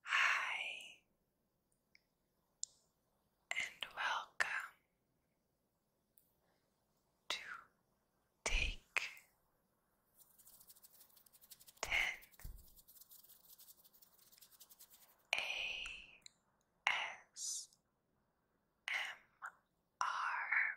Hi, and welcome to take ten A S M R.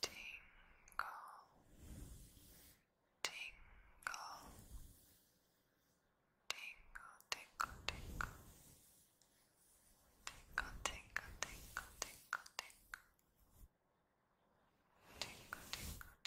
Tingle, tingle, tingle, tingle, tingle, tingle, tingle, tingle, tingle, tingle, tingle, tingle, tingle. Tingle,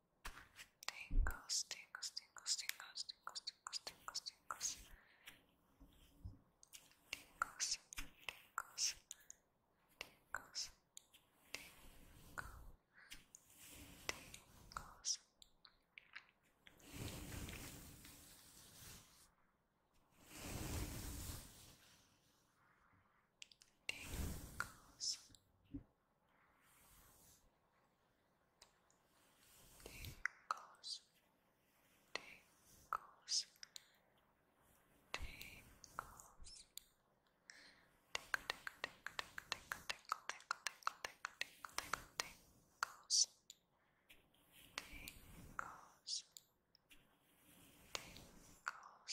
Tingles, tingles, tingles, tingles, tingles, tingles, tingles, tingles. Tingles, tingles, tingles, tingle, tingles. Tingles, Tingles, tingles, tingles. Tickle, tickle, tickle, tickle, tickle, tickle, tickle, tickle, tingles, tingles, tingles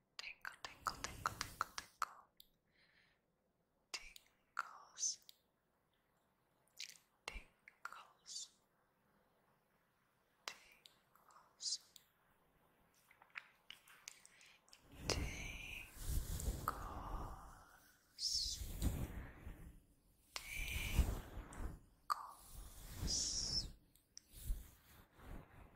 Tinkle, tinkle, tinkle, tinkle, tinkle. Tingles. Tingles. Tingles. Tingles. Tingles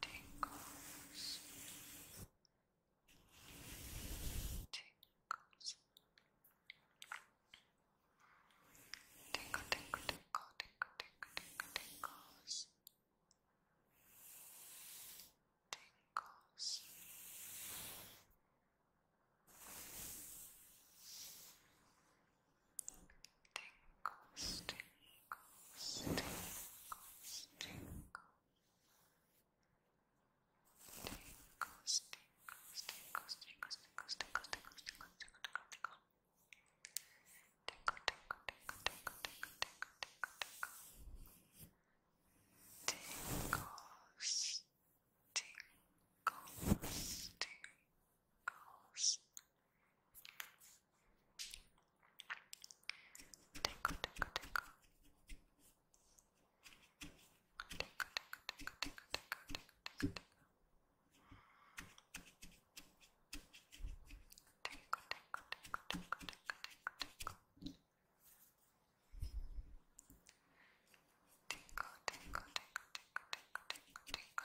Tinkles. Tinkles. Tinkle, tinkle, tinkle, tinkle, tinkle, tinkle, tinkles. Tingles, tingles, tingles, tingles. Tingles, tingles, tingles, tingles, tingles, tingles, tingles, tingles, tingles, tingles, tingles. Tinkle, tinkle, tinkle, tinkle, tinkle, tinkle, tinkle, tinkle. Tingles, tingles, tingles, tingles, aus. Deko, deko, deko. Deko, deko, deko, deko, deko, deko, Tinkle, tinkle, tinkle, tinkle, tinkle, tinkle, tinkle,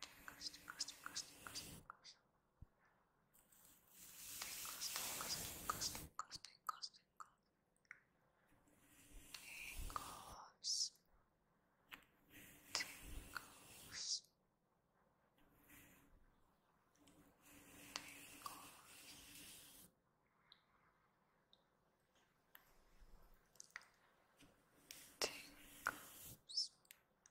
tinkles, tinkles, tinkles, tinkles, tinkles. Tinkles, tinkles, tinkles, tinkles, tinkles, tinkles. Tinkles. Tinkles. Tinkles. Tinkles. Tinkles.